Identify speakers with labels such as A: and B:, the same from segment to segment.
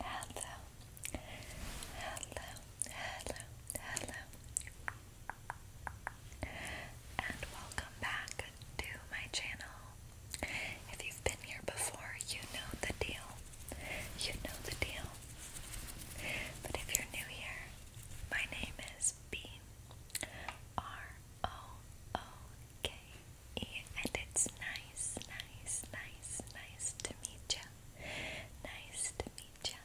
A: Hello, hello, hello, hello, and welcome back to my channel. If you've been here before, you know the deal. You know the deal. But if you're new here, my name is B R O O K E, and it's nice, nice, nice, nice to meet you. Nice to meet you.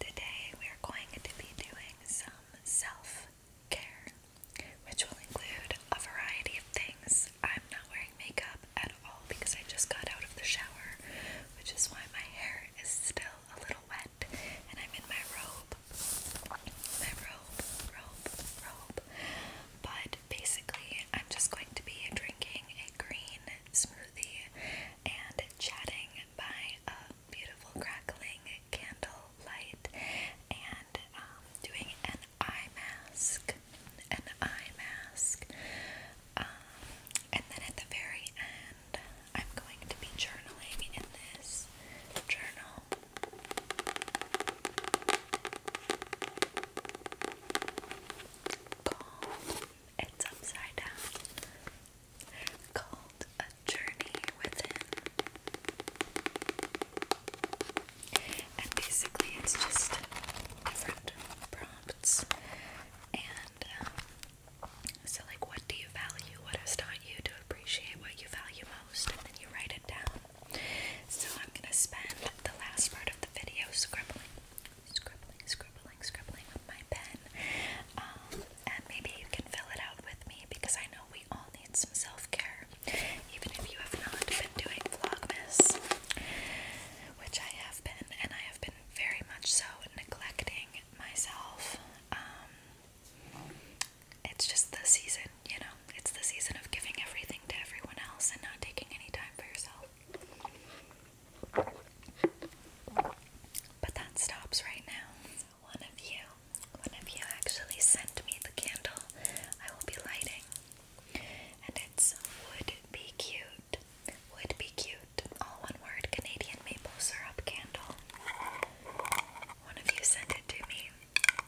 A: Today we are going to be doing some self care, which will include a variety of things. I'm not wearing makeup at all because I just got out of the shower, which is why my hair is still a little wet and I'm in my robe. My robe, robe, robe. But basically, I'm just going to be drinking a green smoothie and chatting by a beautiful crackling candle light and um, doing an eye mask, an eye mask. Um, and then at the very end, I'm going to be journaling in this journal poem. It's upside down. Called A Journey Within. And basically, it's just different prompts and. Um, so, like, what do you value? What has taught you to appreciate what you value most? And then you write it down. So I'm gonna spend the last part of the video scribbling, scribbling, scribbling, scribbling with my pen. Um, and maybe you can fill it out with me because I know we all need some self-care, even if you have not been doing Vlogmas, which I have been, and I have been very much so neglecting myself. Um, it's just the season, you know, it's the season of giving everything to everyone else and not taking any time for yourself. But that stops right now. one of you, one of you actually sent me the candle I will be lighting. And it's Would Be Cute. Would Be Cute. All one word Canadian maple syrup candle. One of you sent it to me,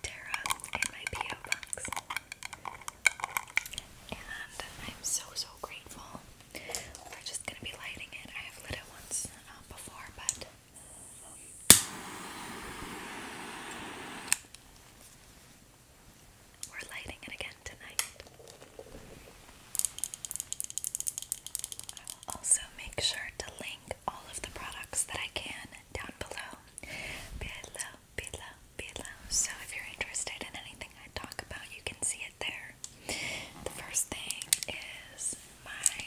A: Tara, in my P.O. box and I'm so so grateful. We're just gonna be lighting it. I have lit it once uh, before, but um, we're lighting it again tonight. I will also make sure to link all of the products that I can down below. Below, below, below. So if you're interested in anything I talk about, you can see it there. The first thing is my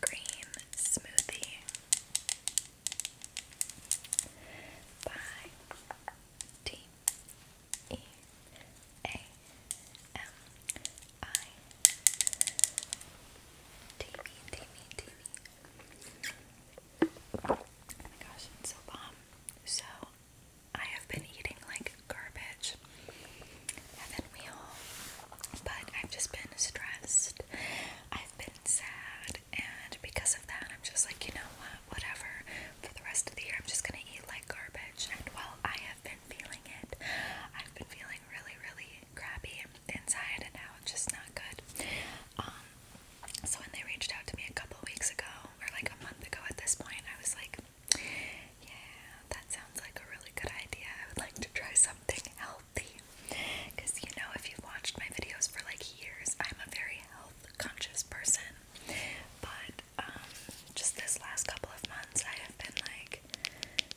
A: green smoothie by T E A M I TV TV TV Oh my gosh, it's so bomb. So I have been eating like garbage and then we all but I've just been stressed. I've been sad and because of that I'm just like, you know what, whatever. For the rest of the year I'm just gonna eat like garbage and while I have been feeling it, I've been feeling really, really crappy inside and out, just not good. Um so when they reached out to me a couple weeks ago, or like a month ago at this point, I was like, yeah, that sounds like a really good idea. I would like to try something healthy. Because you know, if you've watched my videos for like years, I'm a very health conscious person. But um, just this last couple of months, I have been like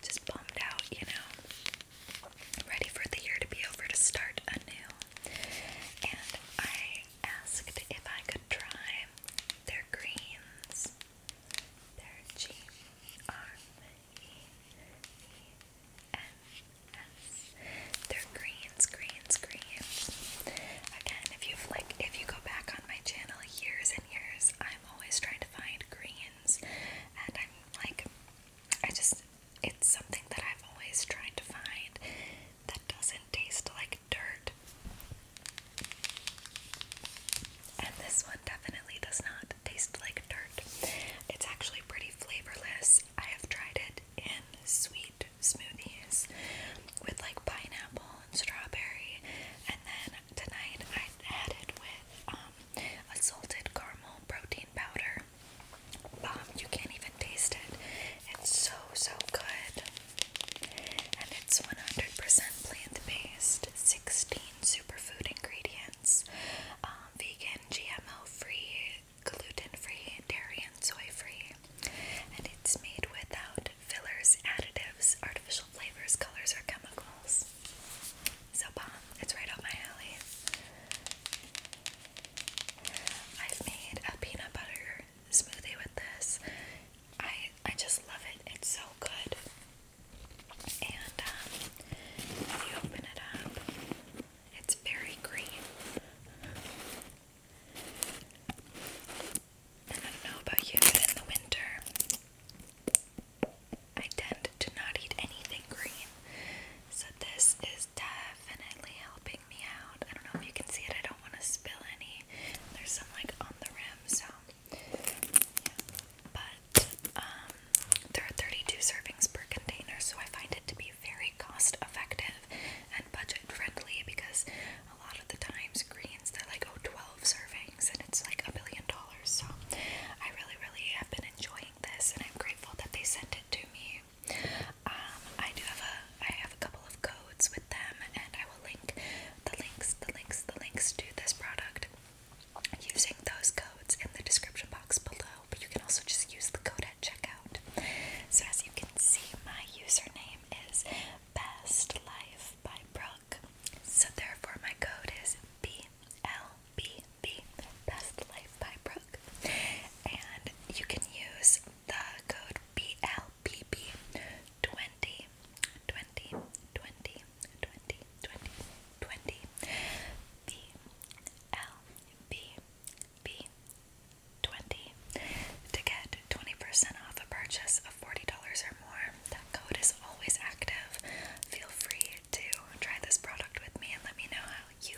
A: just bummed out, you know, ready for the year to be over to start anew and I asked if I could try their greens. Their G R E E N S. Their greens, greens, greens. Again, if you like, if you go back on my channel years and years, I'm always trying to find greens, and I'm like, I just it's something that I've always tried to find that doesn't taste like dirt. And this one definitely does not taste like dirt. It's actually pretty flavorless. I have tried it in sweet smoothies with like pineapple and strawberry, and then tonight I added with um, salted caramel protein powder bomb. You can't even taste it. It's so, so good. And it's 100% plant based, 16 superfood ingredients, um, vegan, GMO free, gluten free, dairy, and soy free. And it's made without fillers, additives, artificial flavors, colors, or chemicals. So bomb. It's right up my alley. I've made a peanut butter smoothie with this. I I just love it. It's so good. And um, you open it up, it's very green. And I don't know about you, but in the winter, I tend to not eat anything green. So this is definitely helping helping me out. I don't know if you can see it. I don't want to spill any. There's some like on the rim, so yeah. But um, there are 32 servings per container, so I find it to be very cost effective and budget friendly because a lot of the times greens they're like oh 12 servings and it's like a billion dollars. So I really, really have been enjoying this, and I'm grateful that they sent it to me. Um, I do have a I have a couple of codes with them, and I will link the links, the links, the links to this product using those codes in the description box below. But you can also just use the code at checkout. So as you can see, my username is Best Life by Brooke. So therefore, my code is B L B B Best Life by Brooke and you can use the code BLPP20 20 blpp 20 to get 20% off a purchase of $40 or more. That code is always active. Feel free to try this product with me and let me know how you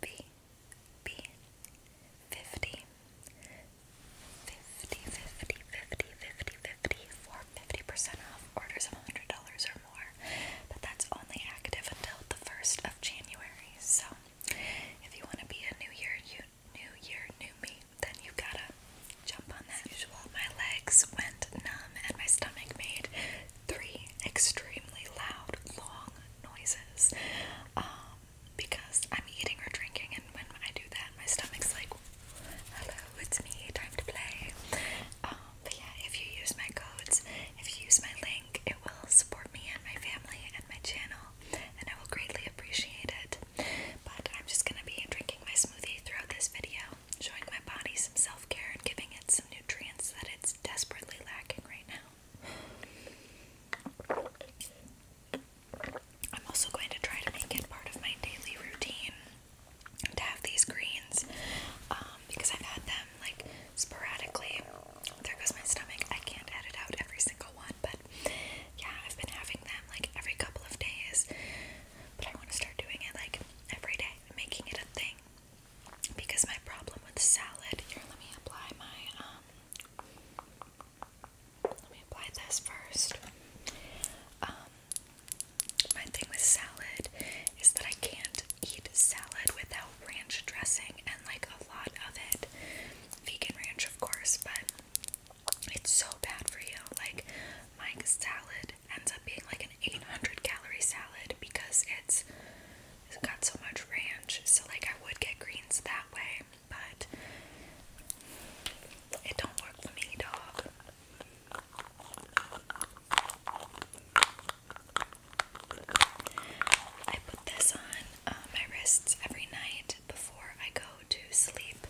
A: B B fifty fifty fifty fifty fifty fifty fifty percent off orders of hundred dollars or more. But that's only active until the first of January. So if you want to be a new year you new year, new me, then you gotta jump on that. usual, my legs went numb and my stomach made three extremely loud, long noises. Um, because I'm eating or drinking, and when I do that, my stomach's like, hello, it's me, time to play. Um, but yeah, if you use my codes, if you use my link, it will support me and my family and my channel, and I will greatly appreciate it. But I'm just gonna be drinking my smoothie throughout this video, showing my body some self care and giving it some nutrients that it's desperately lacking right now. I'm also going to try to make it part of my daily routine to have these greens um, because I've had them like sporadically. There goes my stomach. I can't edit out every single one, but yeah, I've been having them like every couple of days. But I want to start doing it like every day, making it a thing because my problem with salad. Here, let me apply my um, let me apply this first. Um, my thing with salad is that I can't eat salad without ranch dressing and like a lot of it. Vegan ranch, of course, but it's so bad for you. Like, my salad ends up being like an 800 calorie salad because it's, it's got so much ranch. So, like, I would get greens that way but it don't work for me, dog. I put this on uh, my wrists every night before I go to sleep,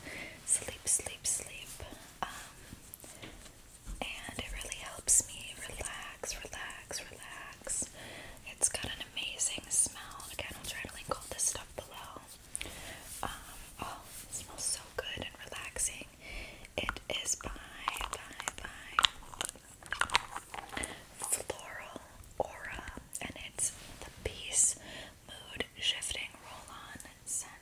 A: sleep, sleep, sleep. Um, and it really helps me relax, relax, relax. It's got an amazing smell. Again, I'll try to link all this stuff below. Um, oh, smells so good and relaxing. It is by, Floral Aura, and it's the Peace Mood Shifting Roll On Scent.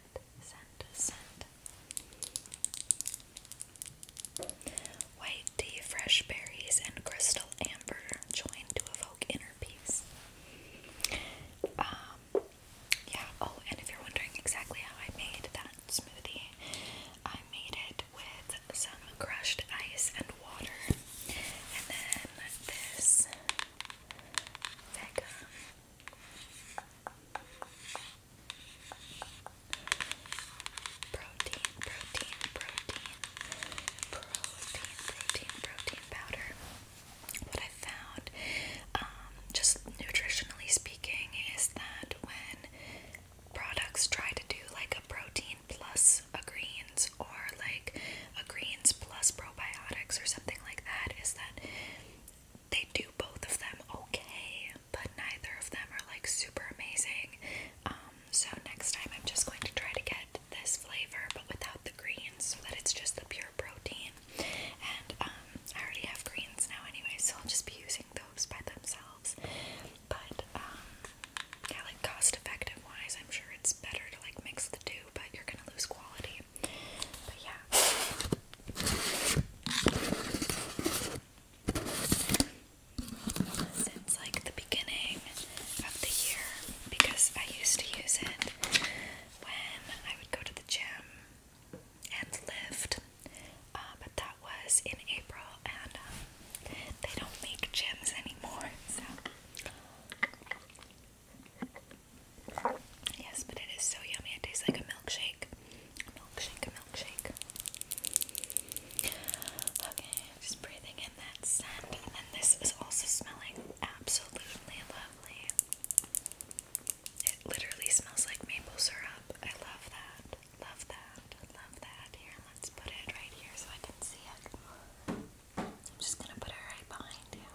A: White tea, fresh berries, and crystal amber joined to evoke inner peace. Um, yeah, oh, and if you're wondering exactly how I made that smoothie, I made it with some crushed ice and water, and then this Vega protein, protein, protein, protein, protein, protein powder. What I found, um, just nutritionally speaking, is that when products try to do like a protein plus a greens or like a greens plus probiotics or something like that, is that they do both of them okay, but neither of them are like super amazing. Um, so next time I'm just going to try to get this flavor but without the greens so that it's just the pure protein. And um, I already have greens now anyway, so I'll just be using those by themselves. But um, yeah, like cost effective wise, I'm sure it's better to like mix the two, but you're gonna lose quality. But yeah since like the beginning of the year because I used to use it when I would go to the gym and lift, uh, but that was in April and um, they don't make gyms anymore. So yes, but it is so yummy. It tastes like a milkshake. A milkshake, a milkshake. Okay, I'm just breathing in that scent. And this is also smelling absolutely lovely. It literally smells like maple syrup. I love that. Love that. Love that. Here, let's put it right here so I can see it. I'm just gonna put it right behind you.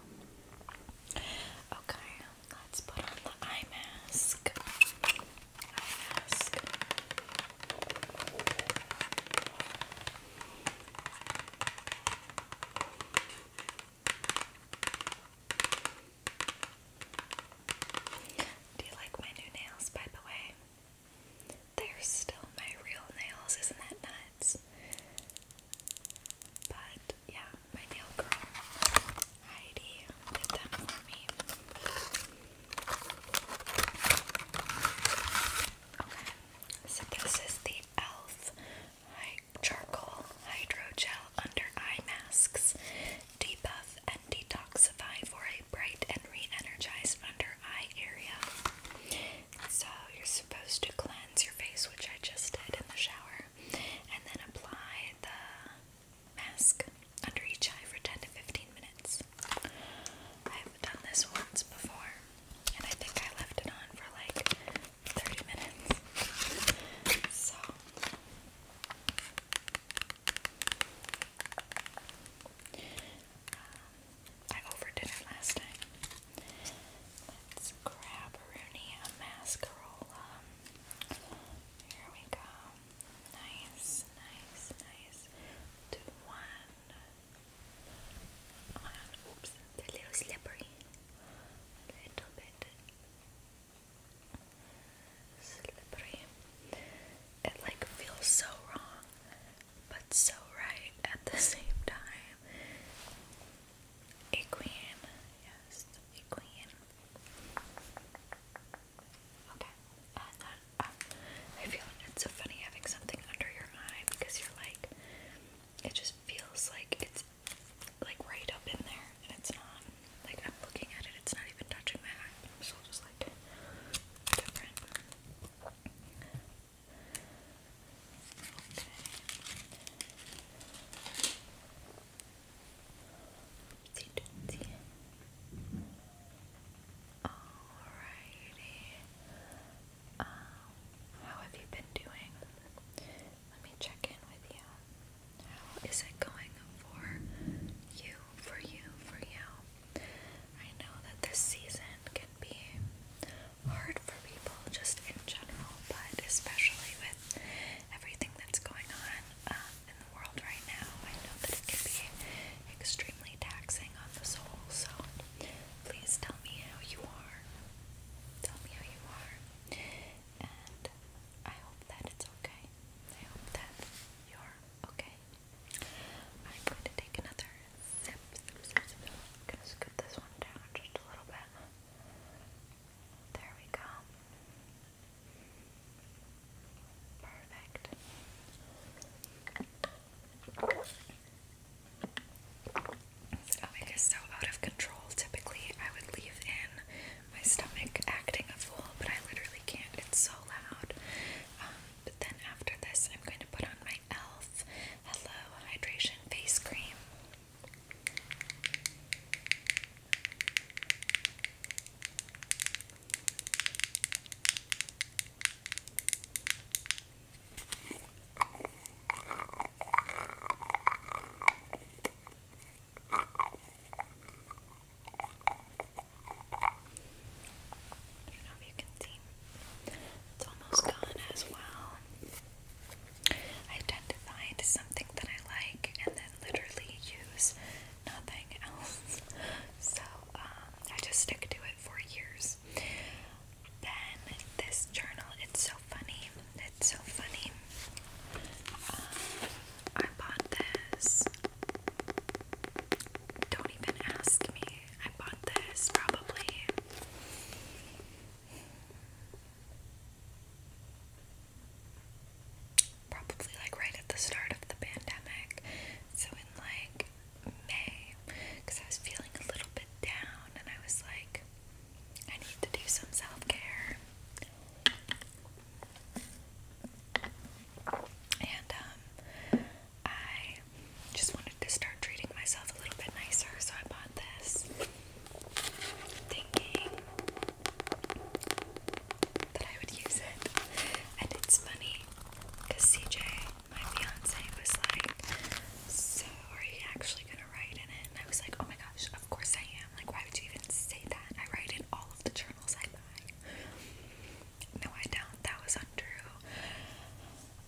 A: Okay, let's put on the eye mask. Eye mask. Do you like my new nails, by the way? They're still my real nails, isn't that nuts? But yeah, my nail girl Heidi did them for me so this is the e.l.f. Charcoal Hydrogel Under Eye Masks. Debuff and detoxify for a bright and re energized under eye area. So, you're supposed to cleanse your face, which I just did in the shower, and then apply the mask under each eye for 10 to 15 minutes. I've done this once before, and I think I left it on for like 30 minutes. So. Um, I overdid it last time. Let's grab Rooney a mascarola. Here we go. Nice, nice, nice. Do one, oops, a little slippery. A little bit slippery. It like feels so wrong, but so right at the same time. A queen, yes, a queen. Okay, uh, I feel it's so funny having something under your eye because you're like, it just feels like it's like right up in there and it's not. Like I'm looking at it, it's not even touching my eye, So just like different. Okay. Alrighty. Um, how have you been doing? Let me check in with you. How is it going for you, for you, for you? I know that this season can be hard for people just in general, but especially with everything that's going on um, in the world right now, I know that it can be extremely taxing on the soul. So please tell me how you are. Tell me how you are. And I hope that it's okay. I hope that you're okay. I'm going to take another sip. I'm going to scoop this one down just a little bit. There we go. Perfect. Stomach is so out of control. Typically, I would leave in my stomach acting a fool, but I literally can't. It's so loud. Um, but then after this, I'm going to put on my e.l.f. Hello Hydration Face Cream. I don't know if you can see. It's almost gone as well. I tend to find something that I like and then literally use nothing else. So um, I just stick to it for years. Then this journal, it's so funny. It's so funny. Um, I bought this. Don't even ask me. I bought this probably. Probably like right at the start of the pandemic. So in like May because I was feeling a little bit down and I was like, I need to do some self care. And um, I just wanted to start treating myself a little bit nicer, so I bought this thinking that I would use it. And it's funny because CJ my fiance was like, So, are you actually gonna write in it? And I was like, Oh my gosh, of course I am. Like, why would you even say that? I write in all of the journals I buy. No, I don't. That was untrue.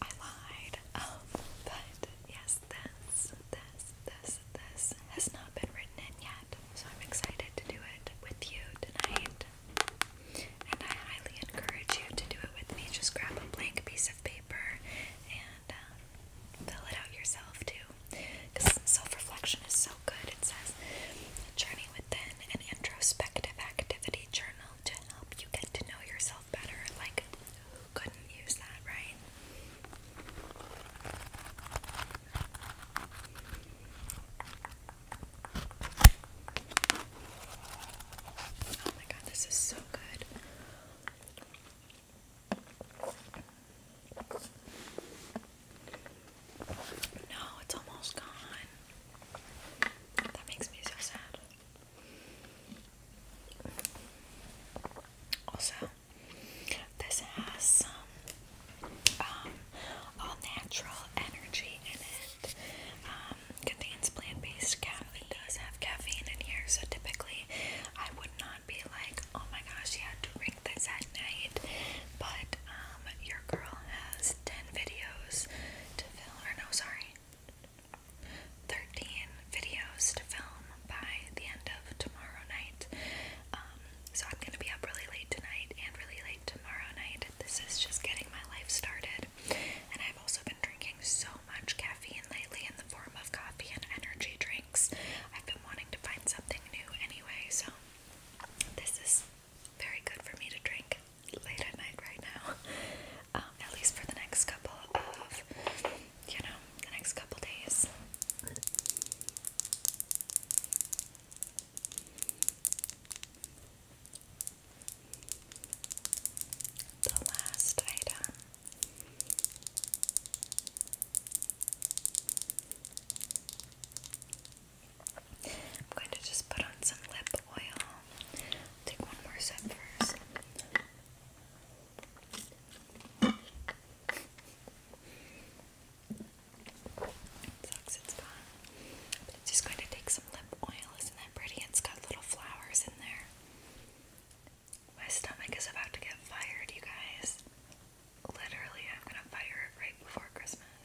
A: I lied. Um, but yes, this, this, this, this has not been written in yet. So I'm excited to do it with you tonight. And I highly encourage you to do it with me. Just grab a blank piece of paper and um, fill it out yourself too. Because self reflection is so good. It says, Journey within an introspective activity journal to help you get to know yourself better. Like, who couldn't use that, right? Oh my god, this is so good. No, it's almost gone. That makes me so sad. Also, this has some um, all natural energy in it. Um, contains plant-based caffeine. It does have caffeine in here, so typically I would not be like, oh my gosh, you had to drink this at night. But um, your girl has 10 videos to film, or no, sorry, 13 videos to film by the end of tomorrow night. Um, so I'm gonna be up really late tonight and really late tomorrow night. This is just getting my life started. And I've also been drinking so much caffeine lately in the form of coffee and energy drinks. I've been wanting to find something new anyway, so this is very good for me to drink late at night right now. Um, at least for the next couple of, you know, the next couple days. The last item I'm going to just put on some lip oil. Take one more sip first. It it but just going to take some lip oil. Isn't that pretty? It's got little flowers in there. My stomach is about to get fired, you guys. Literally, I'm gonna fire it right before Christmas.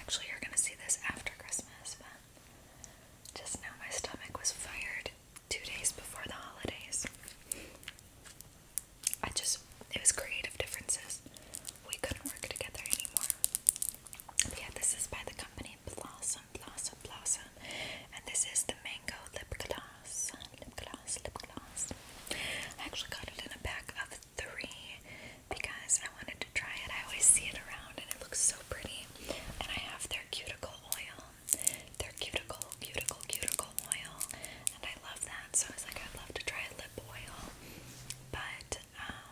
A: Actually, you're gonna see this after Christmas, but just now my stomach was fired two days before the holidays. I just, it was creative differences. We couldn't work together anymore yeah, this is by the company Blossom, Blossom, Blossom. And this is the Mango Lip Gloss. Lip Gloss, Lip Gloss. I actually got it in a pack of three because I wanted to try it. I always see it around and it looks so pretty. And I have their cuticle oil. Their cuticle, cuticle, cuticle oil. And I love that. So I was like, I'd love to try a lip oil. But, um,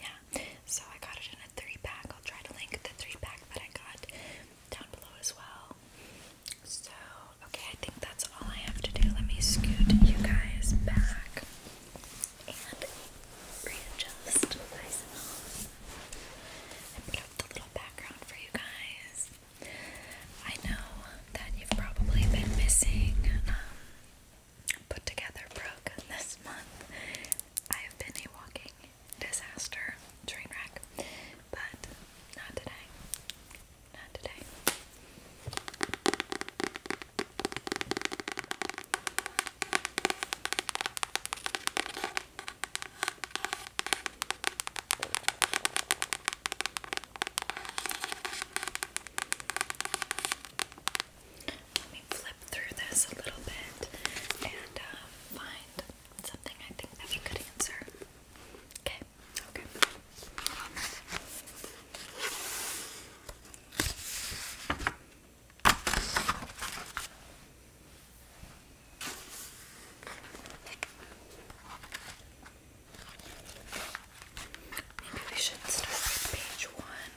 A: yeah, so I got it in a three pack. I'll try to link the three pack that I got down below as well. So, okay, I think that's all I have to do. Let me scoot you guys back and readjust myself and put up the little background for you guys. I know that you've probably been missing um, put together program this month. I have been a walking disaster train wreck, but not today. Not today. Let me flip through this a little bit and uh, find something I think that we could answer. Okay, okay. Maybe we should start with page one.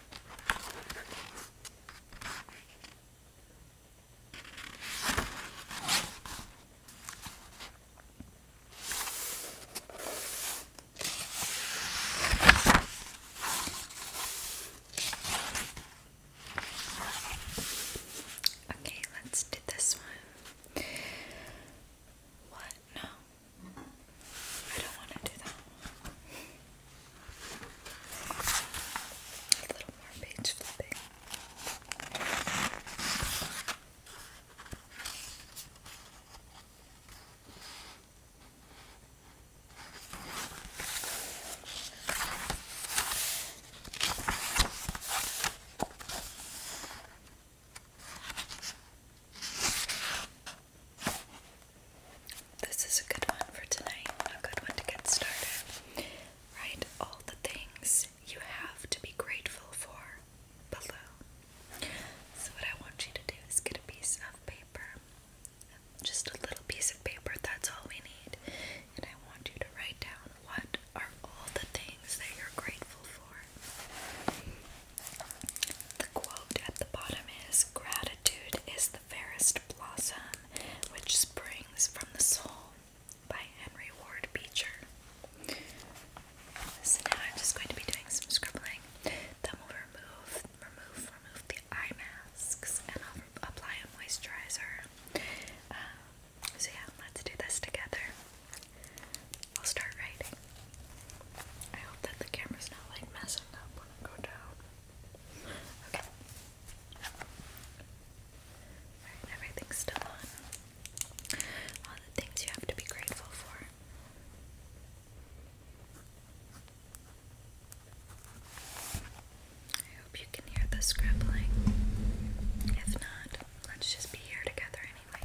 A: Okay, let's do this one. What? No, I don't want to do that. A little more page flipping. This is a good one for tonight, a good one to get started. Write all the things you have to be grateful for below. So, what I want you to do is get a piece of paper, just a little piece of paper, that's all we need. And I want you to write down what are all the things that you're grateful for. The quote at the bottom is Gratitude is the fairest blossom which springs from the soul by Henry Ward Beecher. So now I'm just going to be doing some scribbling. Then we'll remove, remove, remove the eye masks and I'll apply a moisturizer. Um, so yeah, let's do this together. I'll start writing. I hope that the camera's not like messing up when I go down. Okay. everything's still on. All the things you have to be grateful for. I hope you can hear the scribbling. If not, let's just be here together anyway.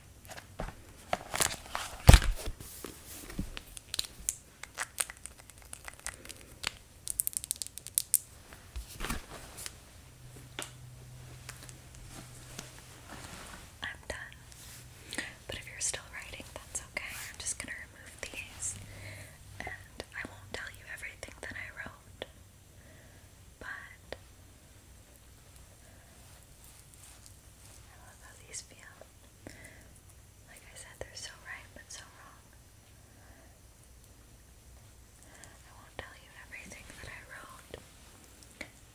A: I'm done. But if you're still writing, that's okay. I'm just gonna remove these and I won't tell you everything that I wrote. But I love how these feel. Like I said, they're so right but so wrong. I won't tell you everything that I wrote,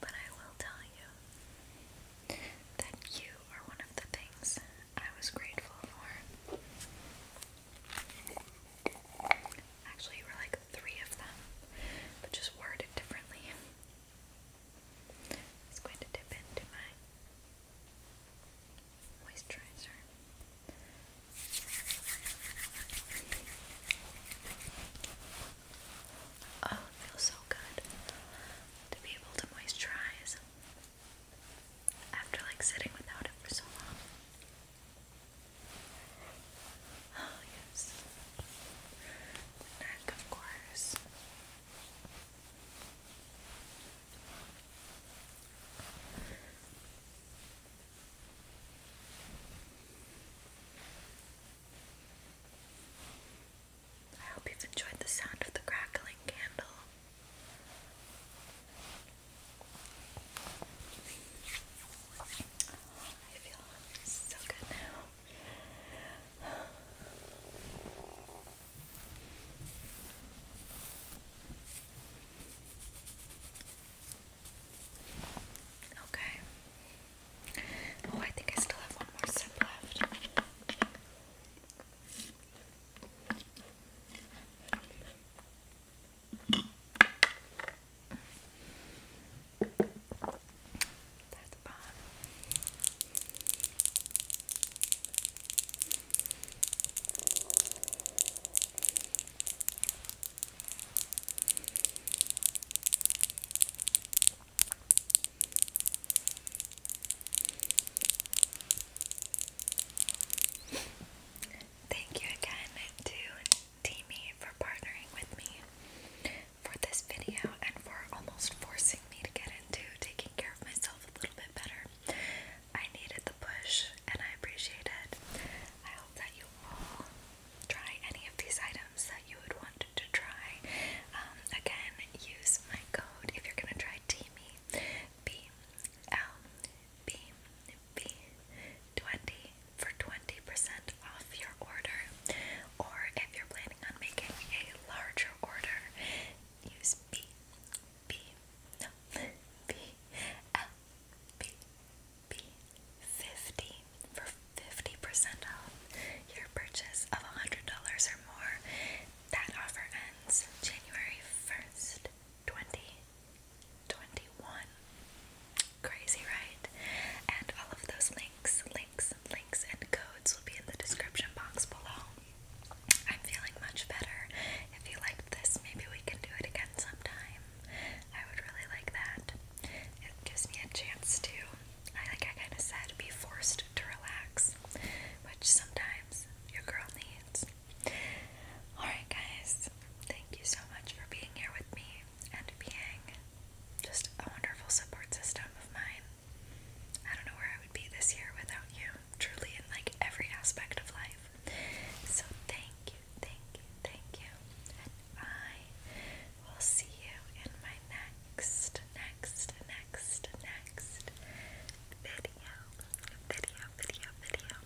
A: but I will tell you that you are one of the things I was grateful for. Actually, you were like three of them, but just worded differently. It's going to dip into my moisturizer. Oh, feels so good to be able to moisturize after like sitting without it for so long. Oh, yes. neck, of course. I hope you've enjoyed the sound of the crackling candle. I feel so good now. Okay. Oh, I think I still have one more sip left. Thank you again to Teamy for partnering with me for this video and for almost forcing me to get into taking care of myself a little bit better. I needed the push and I appreciate it. I hope that you all try any of these items that you would want to try. Um, again, use my code if you're going to try TME, B L B B 20 for 20% off your order. Or if you're planning on making a larger order, use B, B, no, B, L, B, B, 50 for 50% off your purchase of $100 or more. That offer ends January 1st, 2021. Crazy, right? And all of those links, links, links, and codes will be in the description box below. I'm feeling much better. If you like this, maybe we can do it again sometime. I would really like that. It gives me a chance to, I like I kind of said, be forced to relax, which sometimes your girl needs. Alright, guys, thank you so much for being here with me and being just a wonderful support system of mine. I don't know where I would be this year without you, truly, in like every aspect of life. So, thank you, thank you, thank you. And I will see you in my next, next, next, next video. Video, video, video.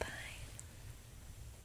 A: Bye.